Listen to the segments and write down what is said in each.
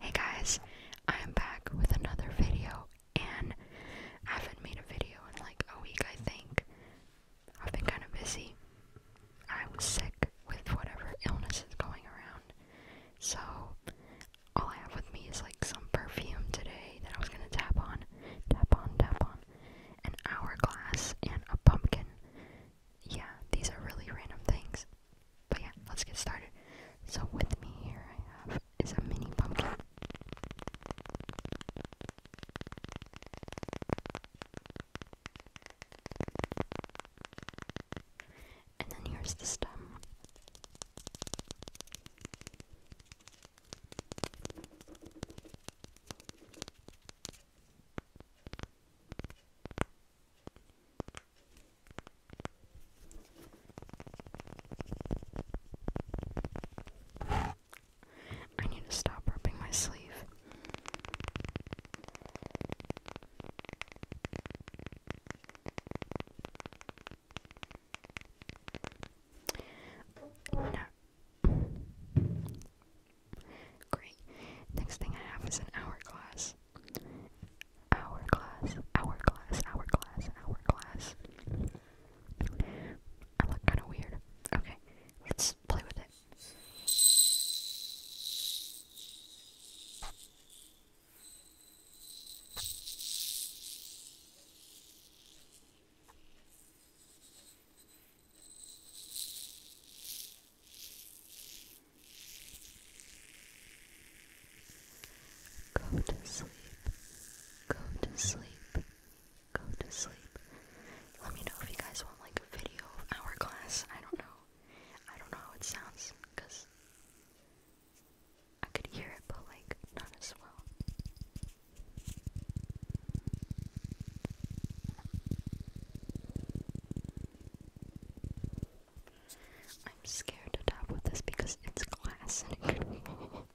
Hey guys, I am back with another video, and I haven't made a video in like a week, I think. I've been kind of busy. I was sick with whatever illness is going around, so all I have with me is like some perfume today that I was gonna tap on, tap on, tap on, an hourglass, and a pumpkin yeah, these are really random things. But yeah, let's get started. So with me here I have is a mini pumpkin. And then here's the stem. I need to stop rubbing my sleeve. Great. Next thing I have is an hourglass. Hourglass, hourglass, hourglass, hourglass. I look kind of weird. Okay, let's play with it. Go to sleep. Go to sleep. Go to sleep. Let me know if you guys want like a video of our class. I don't know. I don't know how it sounds because I could hear it, but like not as well. I'm scared to tap with this because it's glass and it could fall.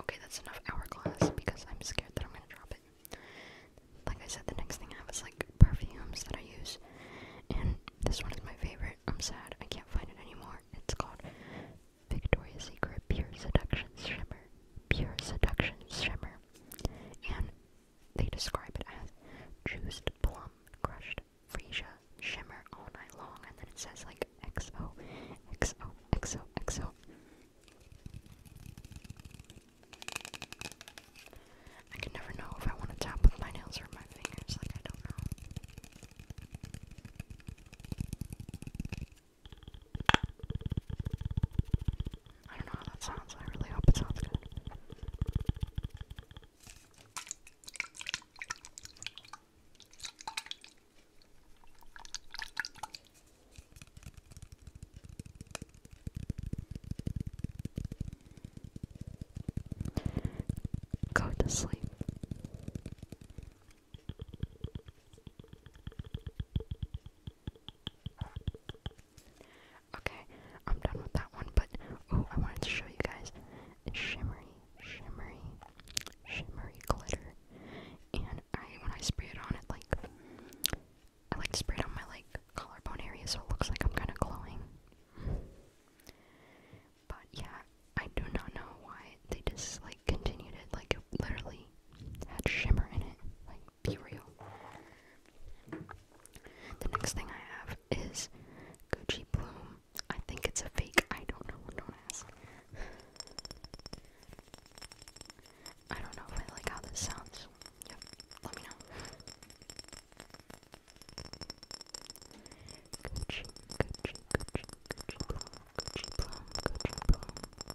Okay, that's enough hourglass because I'm scared that I'm gonna drop it. Like I said, the next thing I have is like perfumes that I use, and this one is my favorite. I'm sad I can't find it anymore. It's called Victoria's Secret Pure Seduction Shimmer. Pure Seduction Shimmer. And they describe it as juiced plum, crushed freesia, shimmer all night long, and then it says like XO, XO, XO, XO. I can never know if I want to tap with my nails or my fingers, like I don't know. I don't know how that sounds. I really hope it sounds good. Go to sleep. Okay, I'm done with that one, but oh, I wanted to show you guys shimmery, shimmery, shimmery glitter. And I, when I spray it on, it like I like to spray it on my like collarbone area, so it looks like I'm kind of glowing. But yeah, I do not know why they just like continued it. Like literally had shimmer in it be real. The next thing I have is Gucci Bloom. I think it's a fake. I don't know. Don't ask. I don't know if I like how this sounds. Yep, let me know. Gucci, Gucci, Gucci, Gucci Bloom, Gucci Bloom, Gucci Bloom.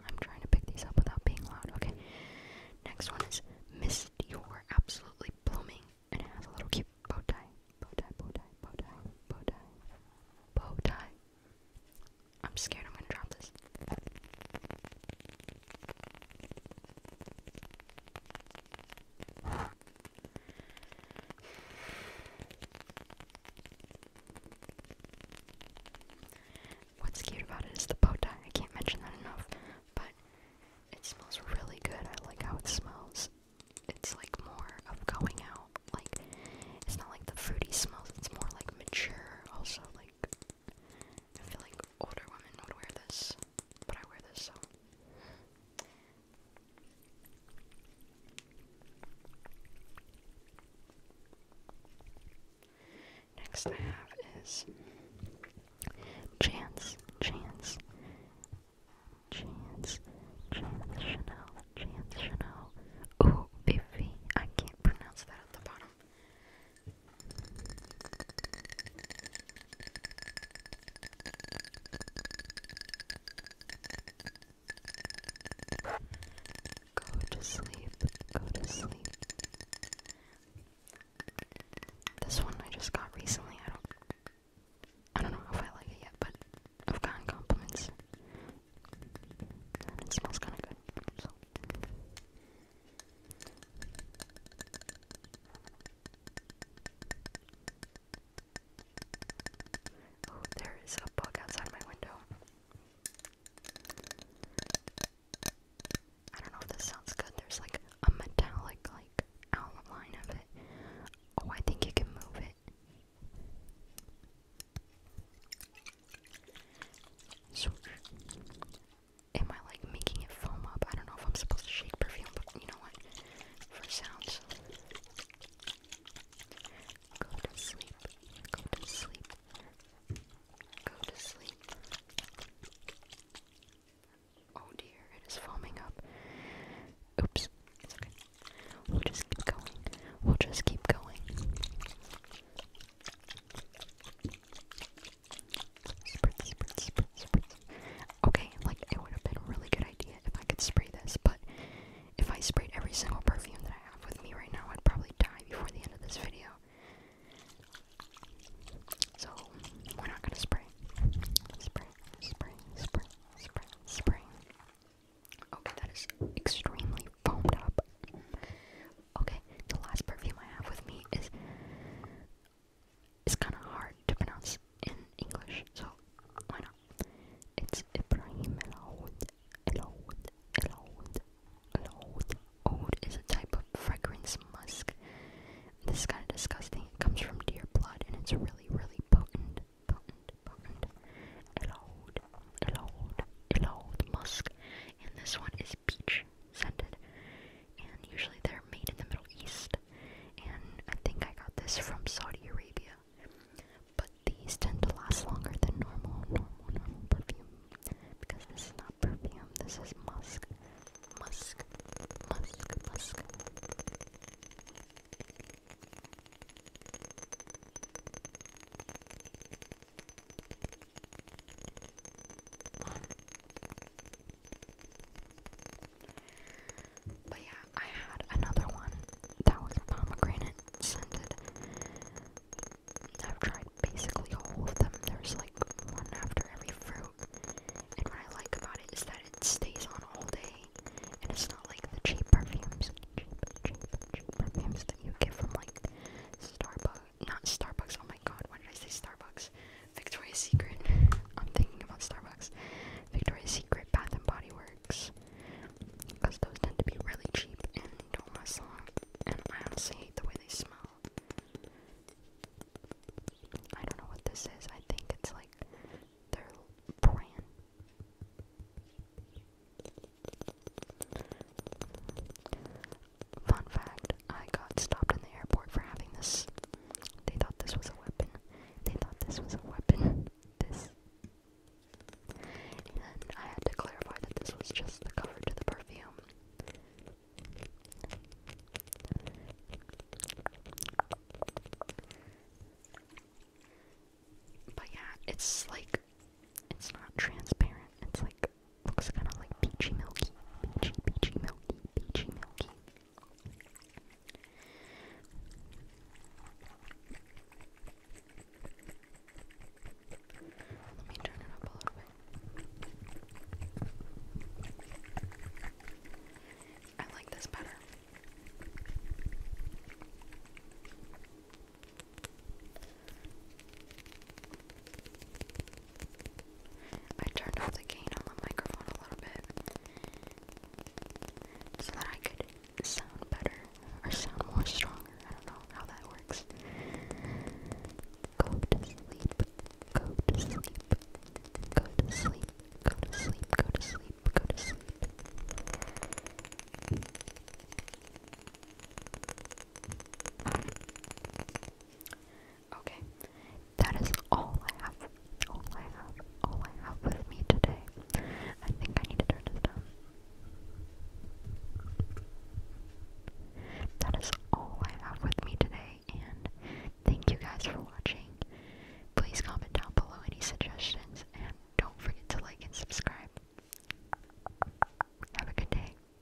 I'm trying to pick these up without being loud. Okay. Next one is Miss Dior Absolutely Blooming. And it has a little cute bow tie. Bow tie, bow tie, bow tie, bow tie, bow tie. I'm scared I'm gonna drop this. What's cute about it is the bow tie. I can't mention that enough, but it smells really good. I like how it smells. It's like more of going out. Like it's not like the fruity smells. It's more like mature. Also, like I feel like older women would wear this, but I wear this so. Next I have is Chance, Chance, Chance, Chance Chanel, Chance Chanel. Ooh, Biffy. I can't pronounce that at the bottom. Go to sleep. Go to sleep. This one I just got recently. I don't I don't know if I like it yet, but I've gotten compliments. it smells kinda good. Oh, there is a bug outside my window. I don't know if this sounds good. There's like a metallic like outline of it. Oh, I think you can move it. am I like making it foam up? I don't know if I'm supposed to shake perfume, but you know what? For sounds. Go to sleep. Go to sleep. Go to sleep. Oh dear, it is foaming up. Oops, it's okay. We'll just keep going. We'll just keep going. Spritz, spritz, spritz, spritz okay, like it would have been a really good idea if I could spray this, but if I sprayed every single perfume that I have with me right now, I'd probably die before the end of this video. So, we're not gonna spray. Spray, spray, spray, spray, spray. Okay, that is extremely foamed up. Okay, the last perfume I have with me is is kind of hard to pronounce in English, so why not? It's Ibrahim El-Oud, El-Oud, El-Oud, El-Oud. Oud is a type of fragrance musk. This is kind of disgusting. It comes from deer blood, and it's really, really potent, potent, potent. El-Oud, El-Oud, El-Oud musk. And this one is peach scented. And usually they're made in the Middle East and I think I got this from Saudi Arabia. But these tend to last longer than normal, normal, normal perfume because this is not perfume, this is musk, musk, musk, musk. But yeah, I had another one that was pomegranate scented. I've tried basically all of them. There's like one after every fruit. And what I like about it is that it stays on all day. And it's not like the cheap perfumes, cheap, perfumes that you get from like Starbucks. Not Starbucks, oh my god, why did I say Starbucks? Victoria's Secret. I'm thinking about Starbucks, Victoria's Secret, Bath and Body Works, because those tend to be really cheap and don't last long. And I honestly hate the way they smell. I don't know what this is. I think it's like their brand. Fun fact I got stopped in the airport for having this. They thought this was a weapon. They thought this was a weapon. This. And I had to clarify that this was just the cover to the perfume. But yeah, it's like it's not transparent. It's like looks kind of like peachy milky, peachy peachy milky, peachy milky. Let me turn it up a little bit. I like this better. I turned off the gain on the microphone a little bit so that I could sound better or sound more stronger. I don't know how that works. Go to sleep. Go to sleep. Go to sleep. Go to sleep. Go to sleep. Go to sleep. Okay, that is all I have. All I have. All I have with me today. I think I need to turn this down. That is all I have with me today, and thank you guys for watching. Please comment down below any suggestions, and don't forget to like and subscribe. Have a good day.